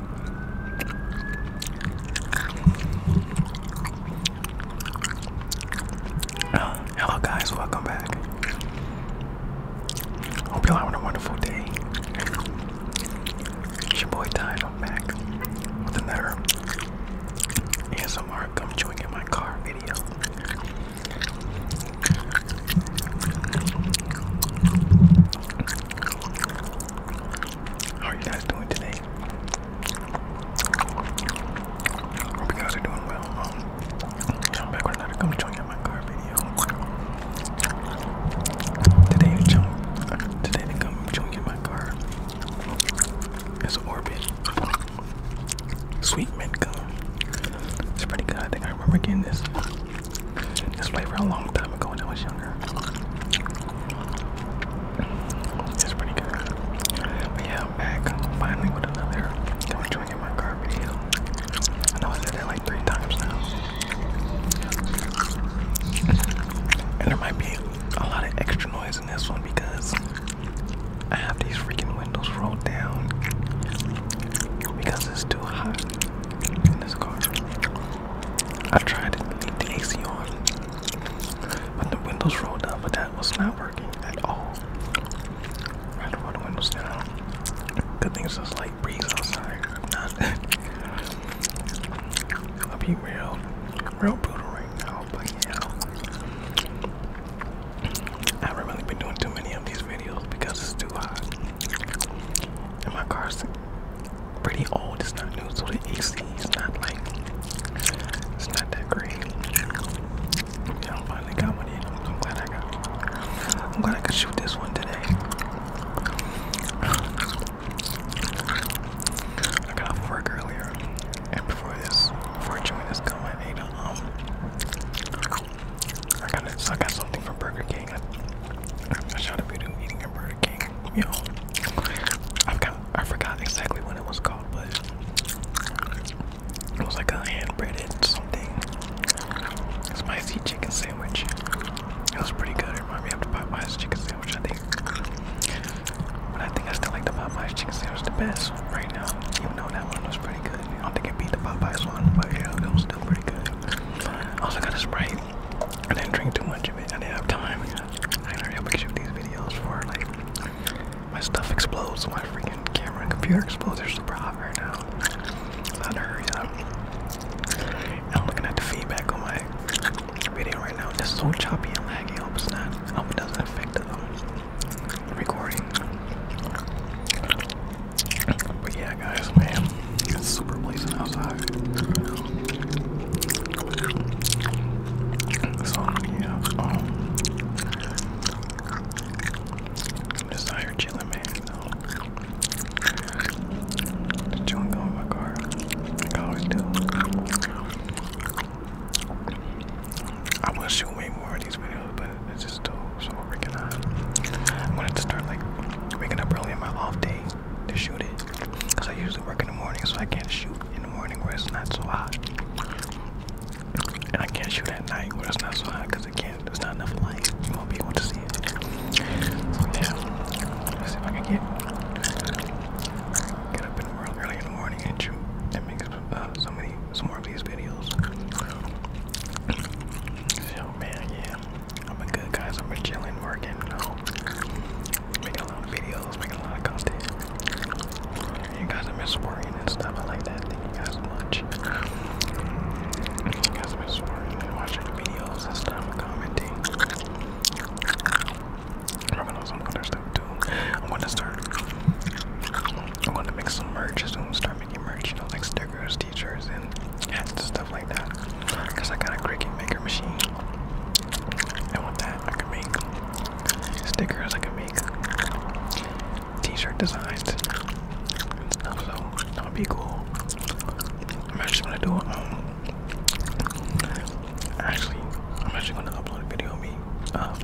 Oh, hello, guys, welcome back. Hope you're having a wonderful day. It's your boy Tide. I'm back with another ASMR come chewing in my car video. How are you guys doing today? Hope you guys are doing well. Um, I'm back with another come join my car video. Today to jump uh, to come join my car. It's Orbit. Sweet mint gum. It's pretty good. I think I remember getting this this for a long time ago when I was younger. It's pretty good. But yeah, back finally with another I'm drinking my car video. I know I said that like three times now. And there might be a lot of extra noise in this one because I have these freaking windows rolled down because it's too hot in this car. I tried to leave the AC on, but the windows rolled up, but that was not working at all. had to roll the windows down. Good thing it's just light breeze outside. I'll be real, real brutal right now, but yeah. I have really been doing too many of these videos because it's too hot. And my car's pretty old, it's not new, so the AC is not like it's not that great. Yeah, I finally got one I'm, I'm glad I got I'm glad I could shoot this one today. I got work earlier and before this before joining this come I ate um I got it. I got something from Burger King. I, shot a video eating a Burger King. You I've got, I forgot exactly what it was called, but it was like a hand breaded something spicy chicken sandwich. It was pretty good. It reminded me of the Popeyes chicken sandwich, I think. But I think I still like the Popeyes chicken sandwich the best right now, even though that one was pretty good. I don't think I beat the Popeyes one, but yeah, it was still pretty good. I also got a Sprite. I didn't drink too much of it. I didn't have time. I gotta hurry to and shoot these videos for like my stuff explodes. My freaking camera and computer explodes. They're super hot right now. So I gotta hurry up. I'm looking at the feedback on my video right now. It's so choppy and laggy. I hope it's not. I hope it doesn't affect the um, recording. But yeah, guys, man, it's super blazing outside. So yeah, i just out chilling, man. Just chilling, going in my car, like always do. I want to shoot way more of these videos, but it's just so, so freaking hot. I'm gonna have to start like waking up early in my off day to shoot it. Cause I usually work in the morning, so I can't shoot in the morning where it's not so hot. And I can't shoot at night where it's not so hot because it can't, there's not enough light. You won't be able to see it. yeah, see if I can get, get up in the world early in the morning and shoot. That makes uh, so many some more of these videos. So man, yeah, I'm a good guys. I'm been chilling, making a lot of videos, making a lot of content. You guys have been supporting and stuff. I like that. Thank you guys so much. You guys have been supporting watching the videos and stuff, commenting. Probably know some other stuff too. I'm gonna start. I'm gonna make some merch soon. Start making merch, you know, like stickers, t-shirts, and stuff like that. Cause I got a Cricut maker machine, and with that, I can make stickers. I can make t-shirt designs and stuff. So that would be cool. I'm actually gonna do it. Um, Actually, I'm actually going to upload a video of me um,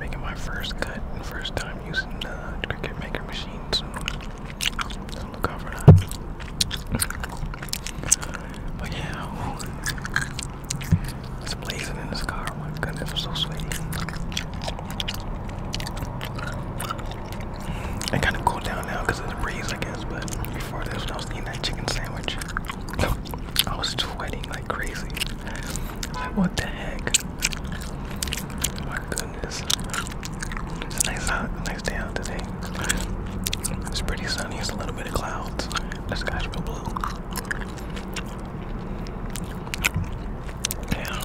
making my first cut first time using the Cricut Maker machine. So look out for that. But yeah, oh, it's blazing in this car. Oh my goodness, I'm so sweaty. It kind of cooled down now because of the breeze, I guess. But before this, I was eating that chicken sandwich. I was sweating like crazy. Like what the heck? my goodness. nice out, nice day out today. It's pretty sunny. It's a little bit of clouds. The sky's real blue. Yeah.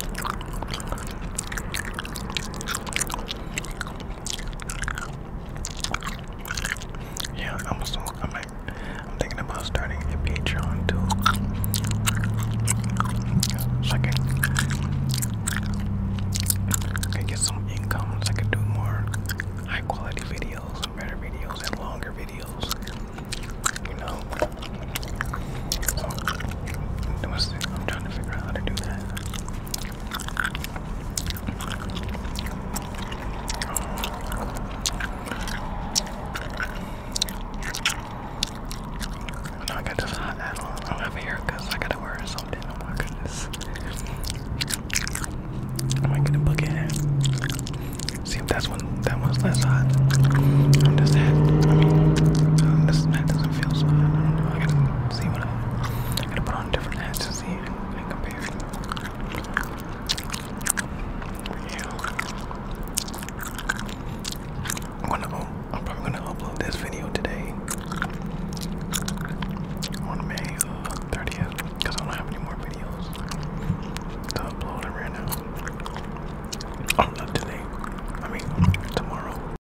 Yeah, I'm so I'm like, I'm thinking about starting a Patreon too. So I can, I can get some income so I can do more high quality videos better videos and longer videos. You know. So, I'm trying to figure out how to do that. I got this hot at all. I don't I gotta wear something. Oh my goodness. I might get book it. See if that's one that one's less hot. I'm just that uh, this mat doesn't feel so hot. see what I, I'm probably gonna upload this video today on May uh, 30th because I don't have any more videos to upload right now. Oh, not today. I mean, tomorrow.